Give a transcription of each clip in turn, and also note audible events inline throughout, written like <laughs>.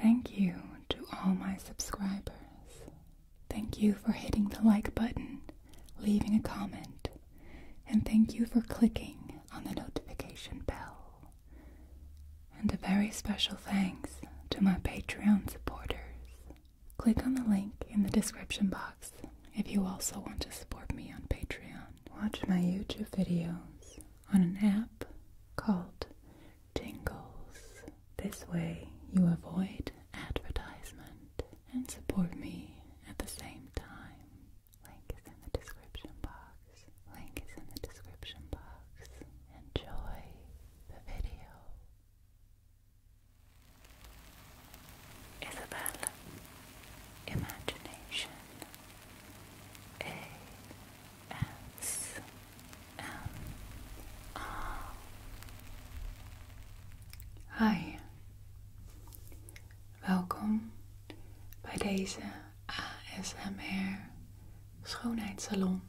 Thank you to all my subscribers. Thank you for hitting the like button, leaving a comment, and thank you for clicking on the notification bell. And a very special thanks to my Patreon supporters. Click on the link in the description box if you also want to support me on Patreon. Watch my YouTube videos on an app called Tingles. This way you avoid advertisement and support me at the same time. Link is in the description box. Link is in the description box. Enjoy the video. Isabel Imagination A Hi, welkom bij deze ASMR schoonheidssalon.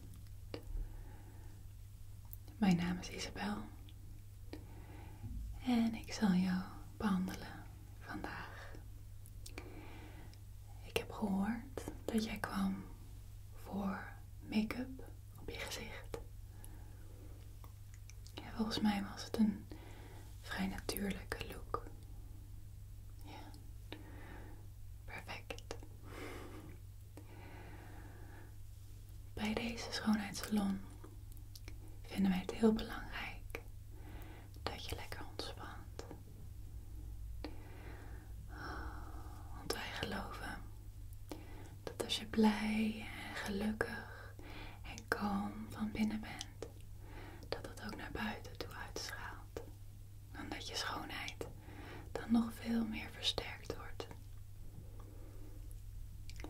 Mijn naam is Isabel en ik zal jou behandelen vandaag. Ik heb gehoord dat jij kwam voor make-up op je gezicht. volgens mij was het een vrij natuurlijke look. Ja, perfect. Bij deze schoonheidssalon vinden wij het heel belangrijk dat je lekker ontspant. Want wij geloven dat als je blij en gelukkig en kalm van binnen bent, dat dat ook naar buiten toe uitstraalt. En dat je schoonheid dan nog veel meer versterkt wordt.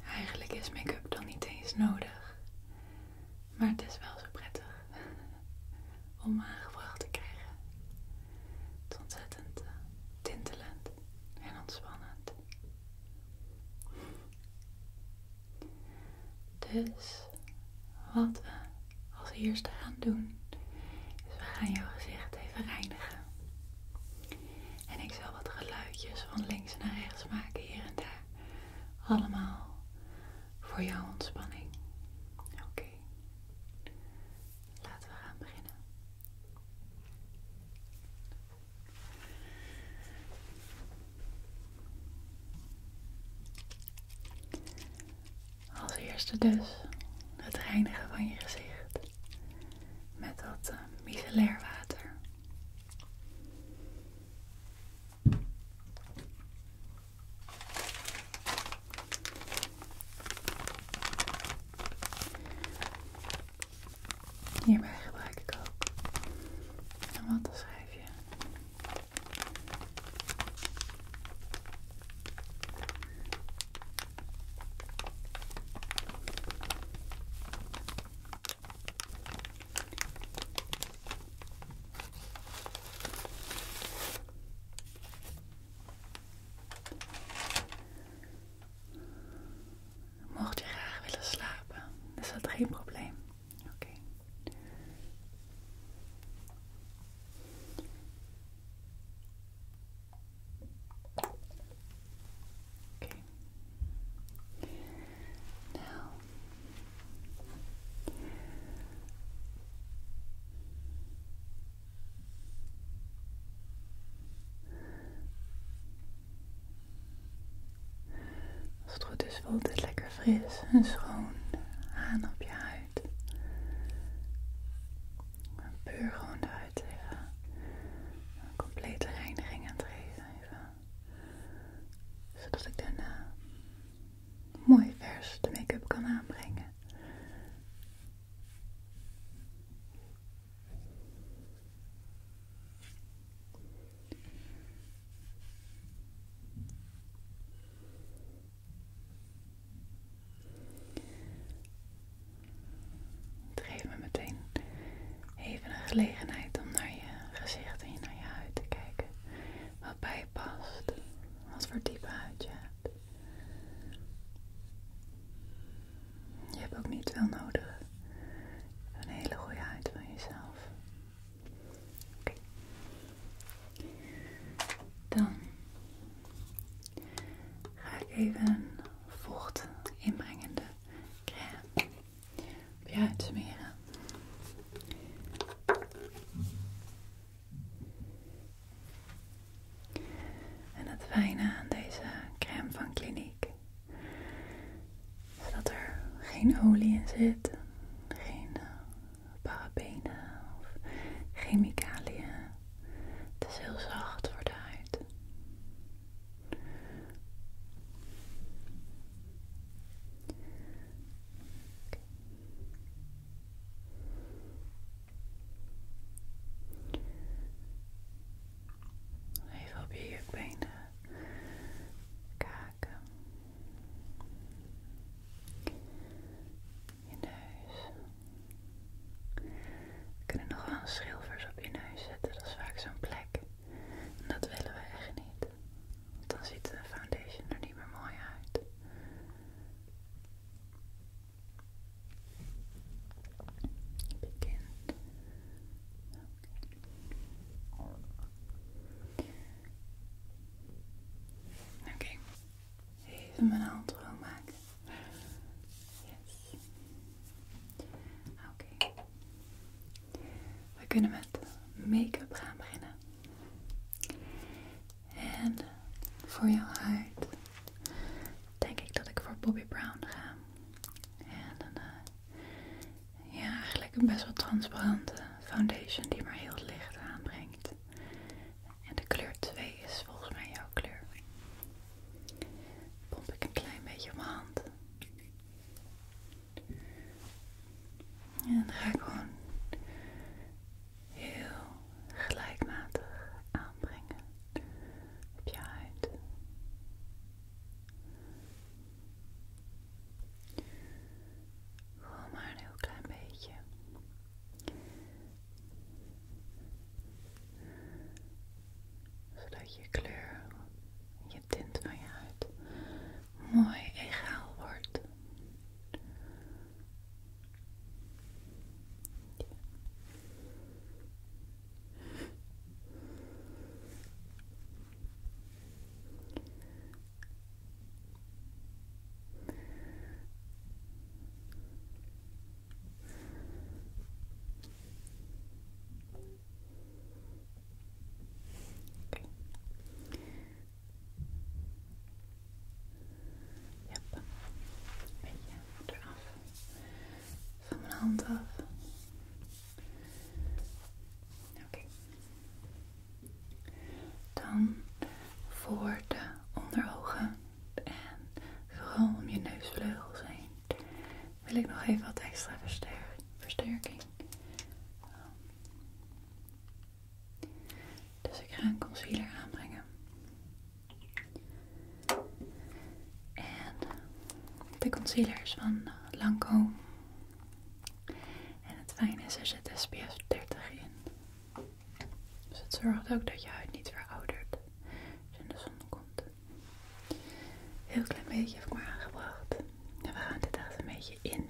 Eigenlijk is make-up dan niet eens nodig, maar het is wel zo prettig om aangevraagd te krijgen. Het ontzettend eh, tintelend en ontspannend. Dus wat we als eerste gaan doen, is we gaan jouw gezicht even reinigen. En ik zal wat geluidjes van links naar rechts maken hier en daar. Allemaal voor jouw ontspanning. Oké, laten we gaan beginnen. Als eerste dus het reinigen van je gezicht met dat uh, water. Hierbij gebruik ik ook een wattenschijfje. Mocht je graag willen slapen, is dat geen probleem. Oké. Oké. Nou, als het goed is voelt het lekker fris en schoon aan op je huid. Puur gewoon de huid even een complete reiniging aan het geven. Zodat ik daarna mooi vers de make-up kan aanbrengen. Geef me meteen even een gelegenheid om naar je gezicht en naar je huid te kijken. Wat je past. Wat voor type huid je hebt. ook niet veel nodig. Een hele goede huid van jezelf. Oké. Dan ga ik even een vocht inbrengende crème op je huid En het fijne aan deze crème van kliniek is dat er geen olie in zit, geen eh, parabenen of chemicaliën. Het is heel zacht voor de huid. Even op je benen kaken, je neus. We kunnen nog wel een schilvers op je neus zetten, dat is vaak zo'n plek. En dat willen we echt niet dan ziet de foundation er niet meer mooi uit. Begin. Oké. Even mijn hand maken. Yes. Oké. We kunnen met make-up gaan beginnen. En voor jouw huid denk ik dat ik voor Bobby Brown ga. En een, eh, ja, eigenlijk een best wel transparante foundation die maar heel licht aanbrengt. En de kleur 2 is volgens mij jouw kleur. Pomp ik een klein beetje mijn hand. En dan ga ik gewoon heel gelijkmatig aanbrengen op je maar heel klein beetje. Zodat je kleur, tint van je huid mooi egaal wordt. Yep. Een beetje eraf. Van mijn hand af. Oké. Dan voor de onderogen en vooral om je neusvleugels heen wil ik nog even wat extra versterking. Ehm, dus ik ga een concealer aanbrengen. En de concealer is van eh, Lancome. En het fijne is, er zit SPF 30 in. Dus het zorgt ook dat je huid niet veroudert als je in de zon komt. Heel klein beetje heb ik maar aangebracht. En we gaan dit echt een beetje in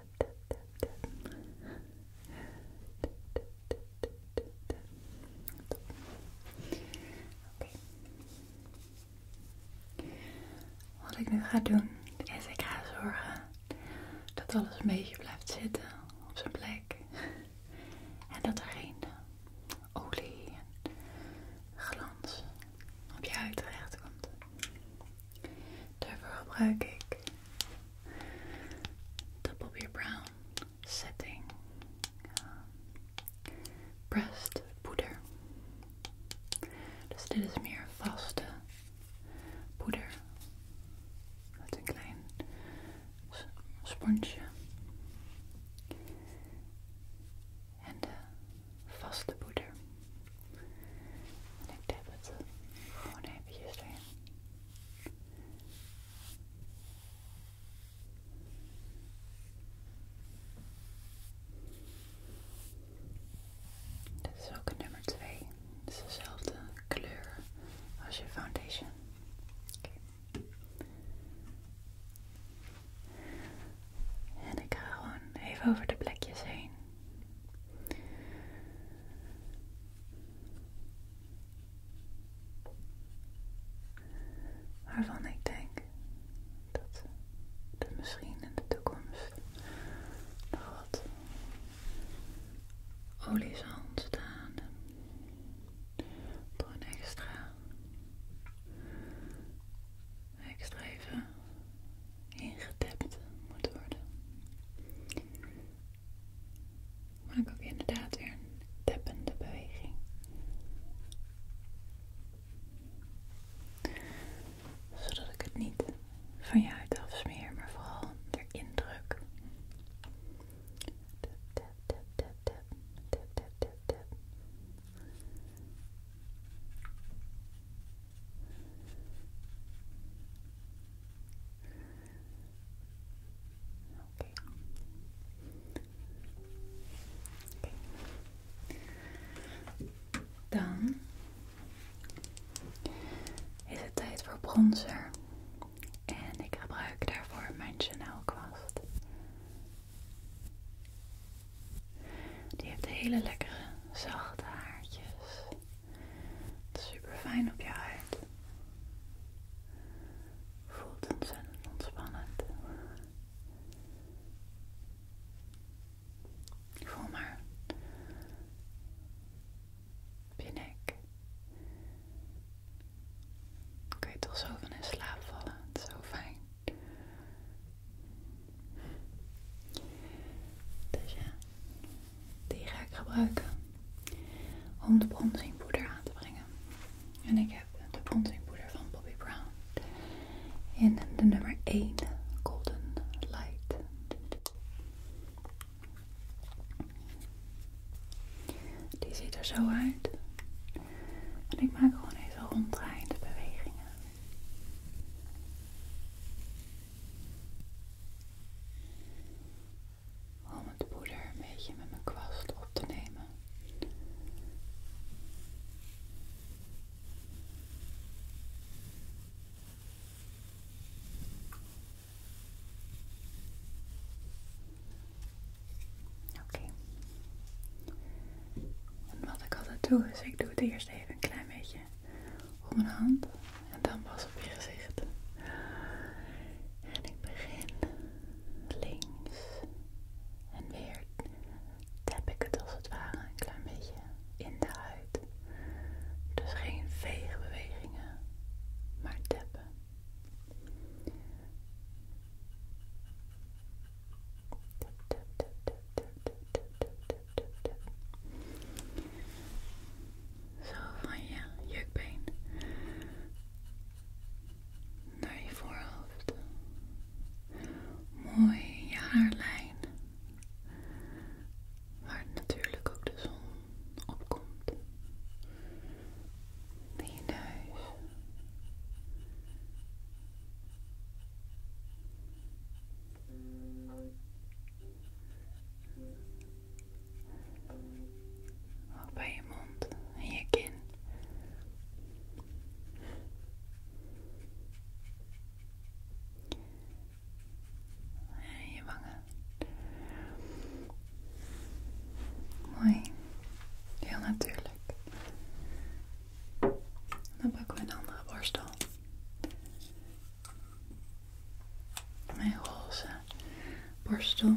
Wat ik nu ga doen, is ik ga zorgen dat alles een beetje blijft zitten op zijn plek. En dat er geen olie en glans op je huid terecht komt. Daarvoor gebruik ik de Bobbi Brown Setting Pressed Poeder. Dus dit is meer vaste poeder met een klein sponsje. En de vaste poeder. En ik dip het gewoon eventjes erin. Dit is ook een nummer twee. Het is dezelfde kleur als je foundation. En ik ga gewoon even over de plekjes heen. Waarvan ik denk dat er misschien in de toekomst nog wat olie zal ontstaan. Door extra, extra ingetapt moet worden. Maak ook inderdaad weer een tappende beweging. Zodat ik het niet van je uit afsmeer, maar vooral weer indruk. tap, tap, tap, tap, tap, tap, tap, tap. Dan is het tijd voor bronzer. En ik gebruik daarvoor mijn Chanel kwast. Die heeft hele lekkere zachte haartjes. Super fijn op je huid. Voelt ontzettend ontspannend. Voel maar op je nek. Kun je toch zo van in slaap vallen? Het is zo fijn. Dus ja, die ga ik gebruiken om de bronzingpoeder aan te brengen. En ik heb de bronzingpoeder van Bobbi Brown in de nummer 1 Golden Light. Die ziet er zo uit. En ik maak gewoon even ronddraaiende bewegingen. Om het poeder een beetje met mijn kwast op te nemen. Oké. En wat ik altijd doe is, ik doe het eerst even een klein beetje op mijn hand en dan pas op je gezicht. En ik begin links en weer tap ik het als het ware een klein beetje in de huid. Dus geen bewegingen maar tappen. Tap, tap, tap, tap, tap, tap, tuf, Zo van je jukbeen naar je voorhoofd. Mooi je haarlijn. Waar natuurlijk ook de zon opkomt. In je ook bij je mond en je kin. En je wangen. Mooi. Heel natuurlijk. Dan pakken we een andere borstel. Mijn roze borstel.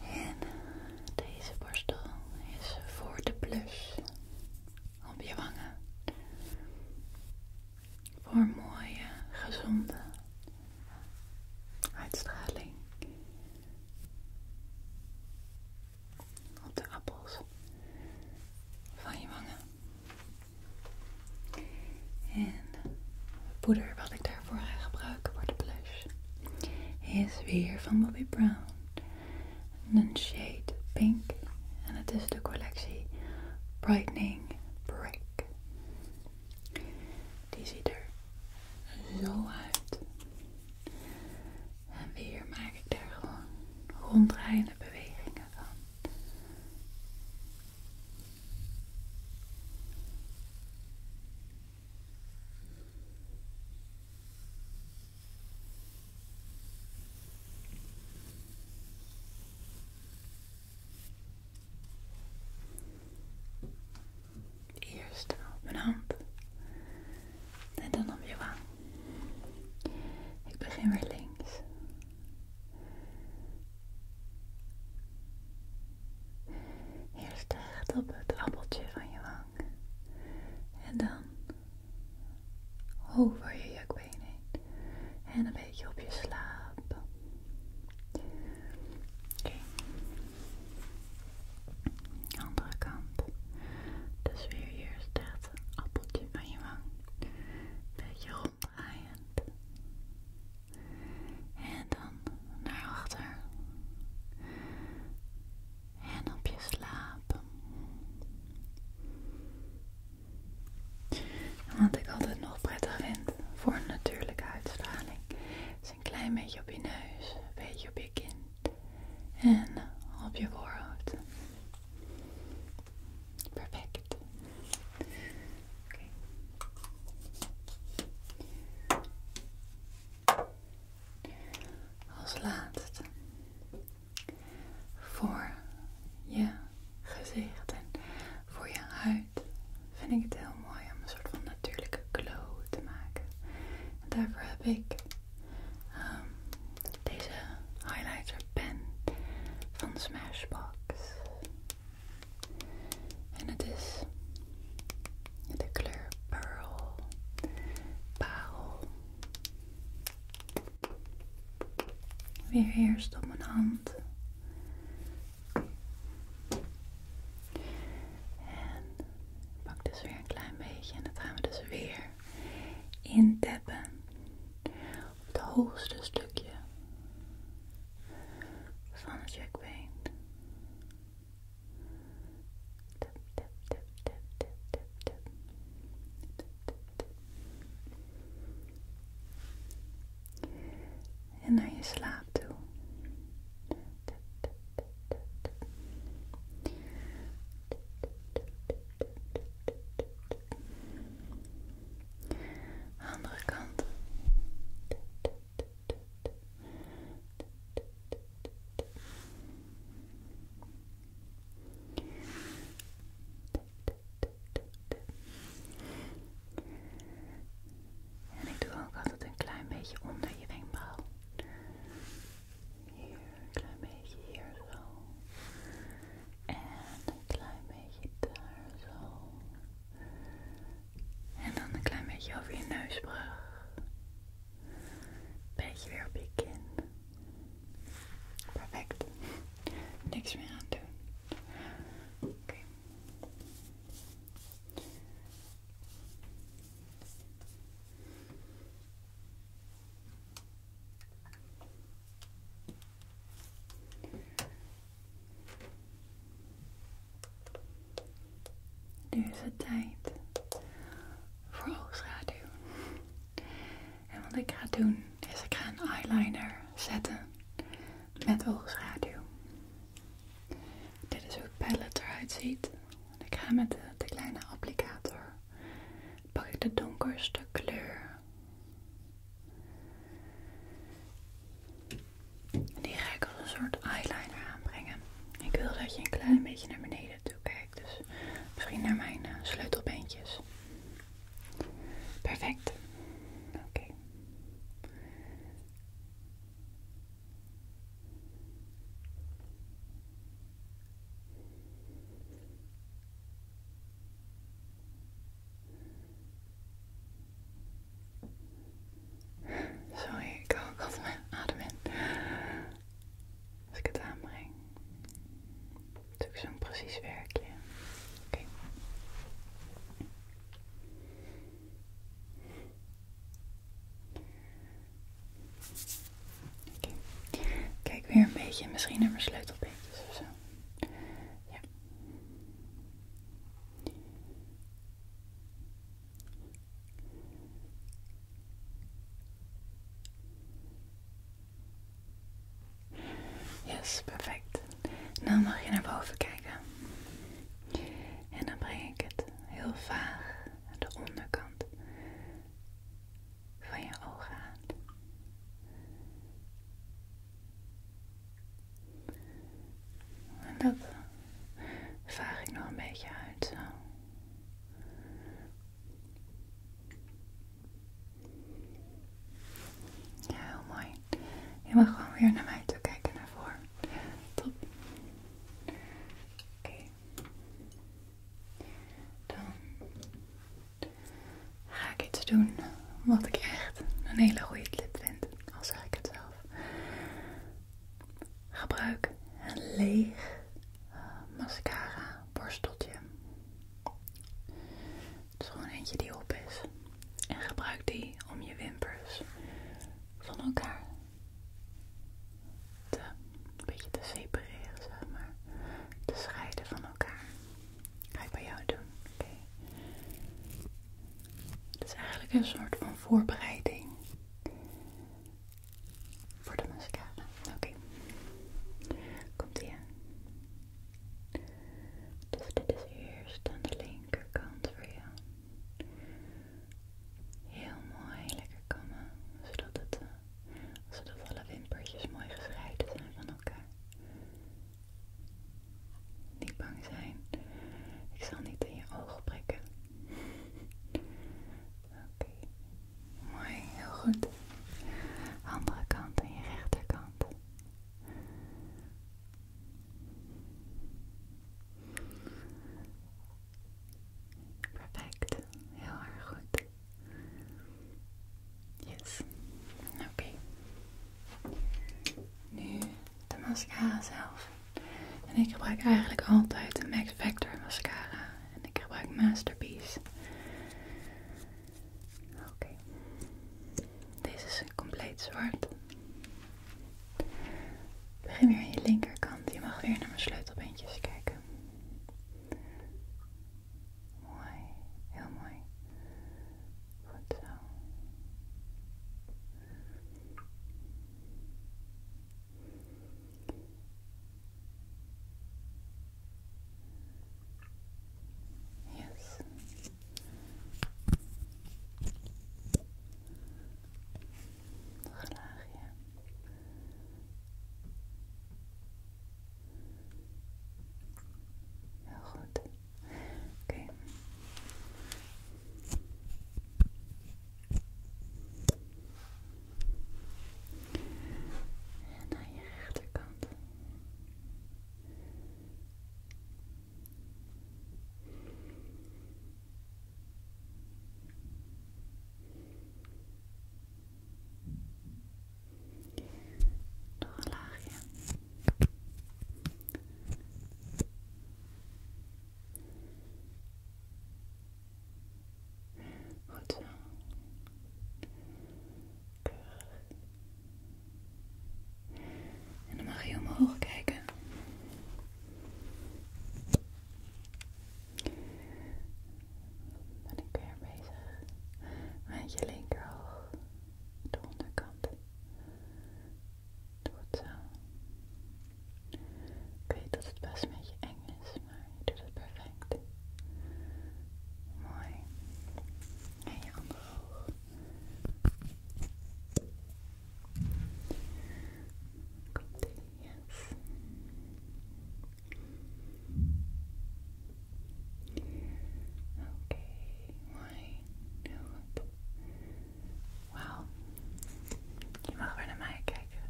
En deze borstel is voor de plus op je wangen. Voor mooie, gezonde uitstraling op de appels van je wangen. En het poeder wat ik daarvoor ga gebruiken voor de blush is weer van Bobbi Brown. Een shade pink. En het is de collectie Brightening Brick. Die ziet er zo uit. En weer maak ik daar gewoon ronddraaiende bewegingen van. Eerst op mijn hand en dan op je wang. Ik begin weer links. Eerst recht op het appeltje van je wang. En dan over je jukbeen heen. En een beetje op je slaap. Oké. Andere kant. Dus weer hier staat een appeltje van je wang. Beetje ronddraaiend. En dan naar achter. En op je slapen. Wat ik altijd nog prettig vind voor een natuurlijke uitstraling is een klein beetje op je neus, een beetje op je kin en op je voorhoofd. Perfect. Als laatste voor je gezicht en voor je huid vind ik het heel mooi om een soort van natuurlijke glow te maken. En daarvoor heb ik um, deze highlighter pen van Smashbox. En het is de kleur Pearl. Parel. Weer eerst op mijn hand. Pak dus weer een klein beetje en dat gaan we dus weer intappen. Op het hoogste stukje van het jukbeen. En naar je slaap toe. Andere kant. En ik doe ook altijd een klein beetje onder je wenkbrauw. Hier, een klein beetje hier zo. En een klein beetje daar zo. En dan een klein beetje over je neusbrug. een Beetje weer op je kin. Perfect. Niks meer aan doen. Oké. Nu is het tijd voor oogschaduw. En wat ik ga doen is ik ga een eyeliner zetten met oogschaduw. Dit is hoe het palette eruit ziet ik ga met de, kleine applicator. Pak ik de donkerste kleur. Die ga ik als een soort eyeliner aanbrengen. Ik wil dat je een klein beetje naar beneden toe kijkt. Dus misschien naar mijn uh, Perfect. Oké. Sorry, ik kan ook altijd mijn adem in als ik het aanbreng. Dat is ook zo'n precies werkje. Oké, Kijk weer een beetje, misschien naar mijn sleutelbeentjes of zo. Ja. Yes, perfect. Nou mag je naar boven kijken. En dan breng ik het heel vaag de onderkant van je ogen aan. En dat vaag ik nog een beetje uit zo. Ja, heel mooi. Je mag gewoon weer naar mij toe kijken naar voren. Top. Oké, dan ga ik iets doen wat ik echt een hele goede lip vind, al zeg ik het zelf. Gebruik een leeg eh, mascara borsteltje. Het is gewoon eentje die op is. En gebruik die om je wimpers van elkaar te, een beetje te separeren, zeg maar. Te scheiden van elkaar. Ga ik bij jou doen. Oké. Het is eigenlijk een soort van voorbereiding voor de mascara. Oké. Komt ie aan. Dus dit is eerst aan de linkerkant voor jou. Heel mooi, lekker kammen, zodat, het, eh, zodat alle wimpertjes mooi gescheiden zijn van elkaar. Niet bang zijn, ik zal niet in je ogen prikken. Oké, mooi, heel goed. Andere kant en je rechterkant. Perfect. Heel erg goed. Yes. Oké. Nu de mascara zelf. En ik gebruik eigenlijk altijd de Max Factor mascara. En ik gebruik Masterpiece. Oké. Deze is compleet zwart. Begin weer aan je linkerkant. Je mag weer naar mijn sleutelbeentjes kijken. Mooi, heel mooi. Goed zo. Yes laagje. goed. Oké. En aan je rechterkant. Nog een Goed En dan mag je omhoog kijken. Dan ben ik weer bezig met je linkerhoog, de onderkant. Doe het zo. Ik weet dat het best een beetje eng is, maar je doet het perfect. Mooi. En je andere hoog. Komt ie, yes. Oké, mooi. Heel goed. Wauw. Je mag weer naar mij kijken.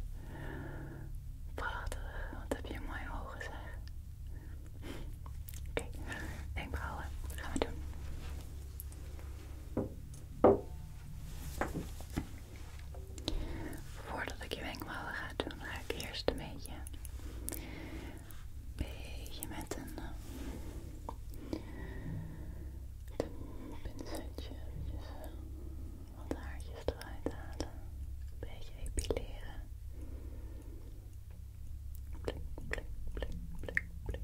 Prachtig, wat heb je mooie ogen zeg. Oké, okay. wenkbrauwen, dat gaan we doen. Voordat ik je wenkbrauwen ga doen, ga ik eerst een beetje, een beetje met een, eh, pinsetje. wat haartjes eruit halen, een beetje epileren. Blik, plink plink blik, blik.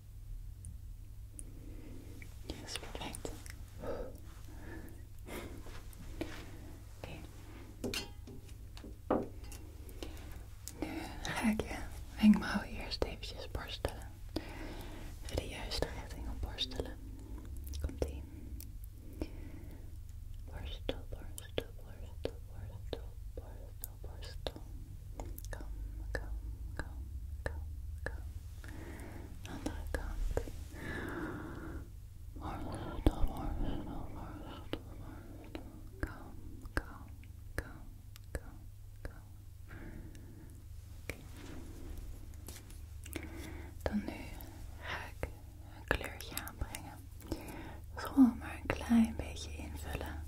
Yes, perfect. Oké. Nu ga ik je eh, wenkbrauwen eerst eventjes borstelen. Even de juiste richting op borstelen. Komt ie. Borstel, borstel, borstel, borstel, borstel, borstel. Kom, kom, kom, kom, kom, kom. Andere kant. Worstel, worstel, worstel, worstel. Kom, kom, kom, kom, kom. Oké. Dan nu ga ik een kleurtje aanbrengen. gewoon maar een klein beetje invullen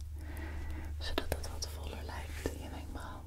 zodat het wat voller lijkt in mijn brand.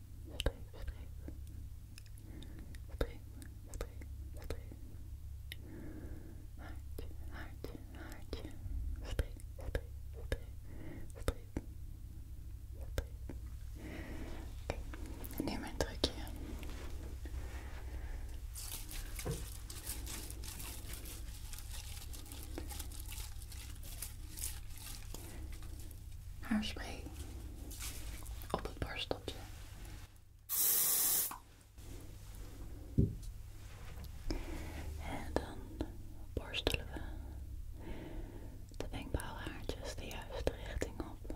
streep, streep, streep, streep, haartje, haartje, haartje, streep, streep, streep, streep, streep. Oké, mijn haarspray op het borsteltje. En dan borstelen we de wenkbrauwhaartjes de juiste richting op,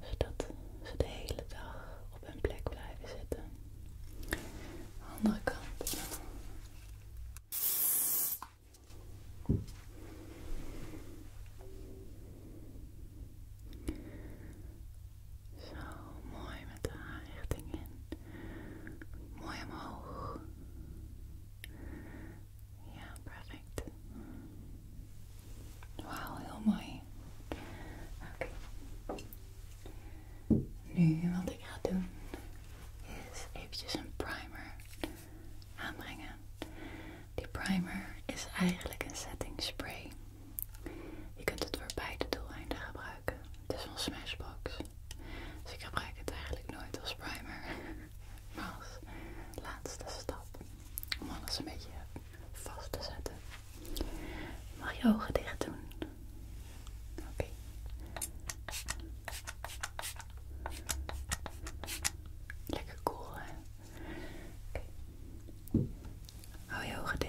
zodat ze de hele dag op een plek blijven zitten. Andere kant. Zo mooi met de aanrichting in. Mooi omhoog. Ja, perfect. Wauw, heel mooi. Oké. Nu wat ik ga doen is even een primer aanbrengen. Die primer is eigenlijk een setting spray. Je kunt het voor beide doeleinden gebruiken. Het is van Smashbox. Dus ik gebruik het eigenlijk nooit als primer. <laughs> Maar als laatste stap om alles een beetje vast te zetten. Mag je ogen dicht doen? Oké. Lekker cool, hè? Okay. Hou je ogen dicht.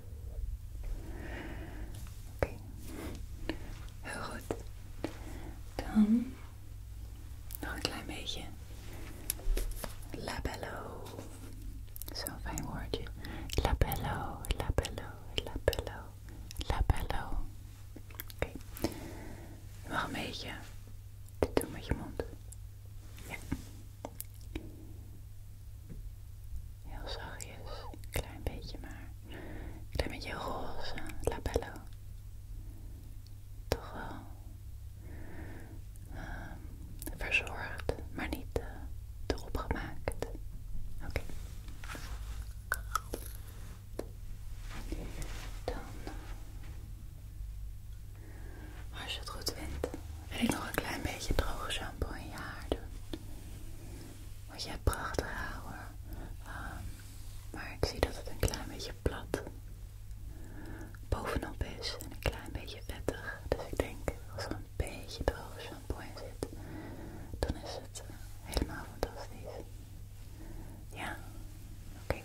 Oké, heel goed. Dan nog een klein beetje labello. Zo'n fijn woordje. Labello, labello, labello, labello. Oké, nog een beetje te doen met je mond. Ja. Heel zachtjes, een klein beetje maar. Een klein beetje roze, labello. Toch wel ehm, verzorgd, maar niet te eh, erop gemaakt. Oké. Dan, eh, als je het goed vindt, wil ik nog een klein beetje droge shampoo in je haar doen wat jij prachtig haar ehm, maar ik zie dat het een klein beetje plat bovenop is en een klein beetje vettig. Dus ik denk als er een beetje droog shampoo in zit, dan is het eh, helemaal fantastisch. Ja, oké. Okay.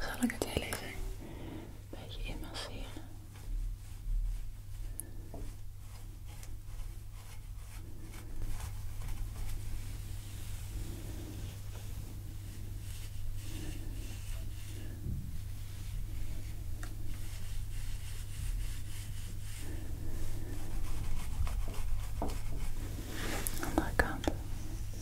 zal ik het een beetje inmasseren. Andere kant.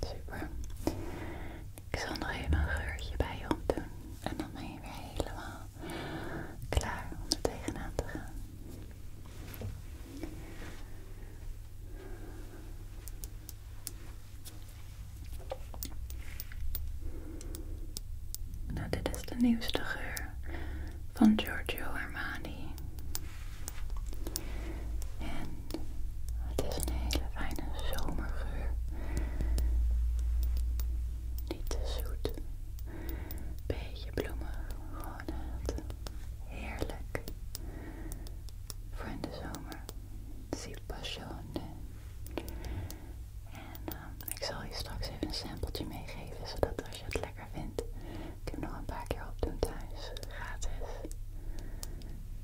Super. Ik zal nog even een geurtje bij je doen En dan ben je weer helemaal klaar om er tegenaan te gaan. Nou, dit is de nieuwste geur van Giorgio Armani. En het is een hele fijne zomergeur. Niet te zoet. Beetje bloemen. Gewoon heerlijk. Voor in de zomer. Si passione. En ehm, ik zal je straks even een sampeltje meegeven, zodat als je het lekker vindt, ik heb nog een paar keer opdoen thuis. Gratis.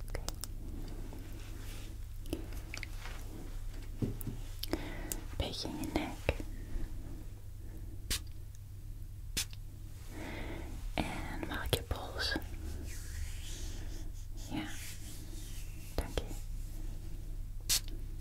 Oké. in je nek. En maak je pols. Ja. Dank je.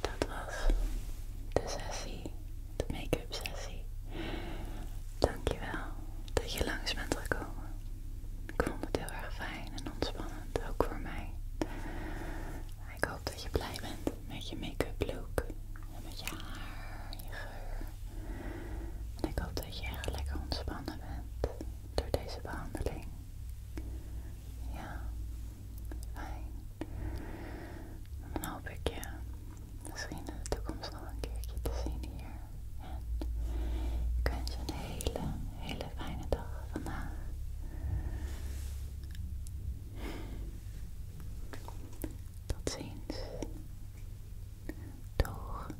Dat was de sessie, de make-up sessie. Dankjewel dat je langs bent gekomen. Ik vond het heel erg fijn en ontspannend, ook voor mij. Ik hoop dat je blij bent met je make-up look en met je haar, je geur. En ik hoop dat je echt lekker ontspannen bent door deze behandeling. Ja, Fijn. Dan hoop ik je misschien in de toekomst nog een keertje te zien hier. En ik wens je een hele, hele fijne dag vandaag. Tot ziens. Doeg.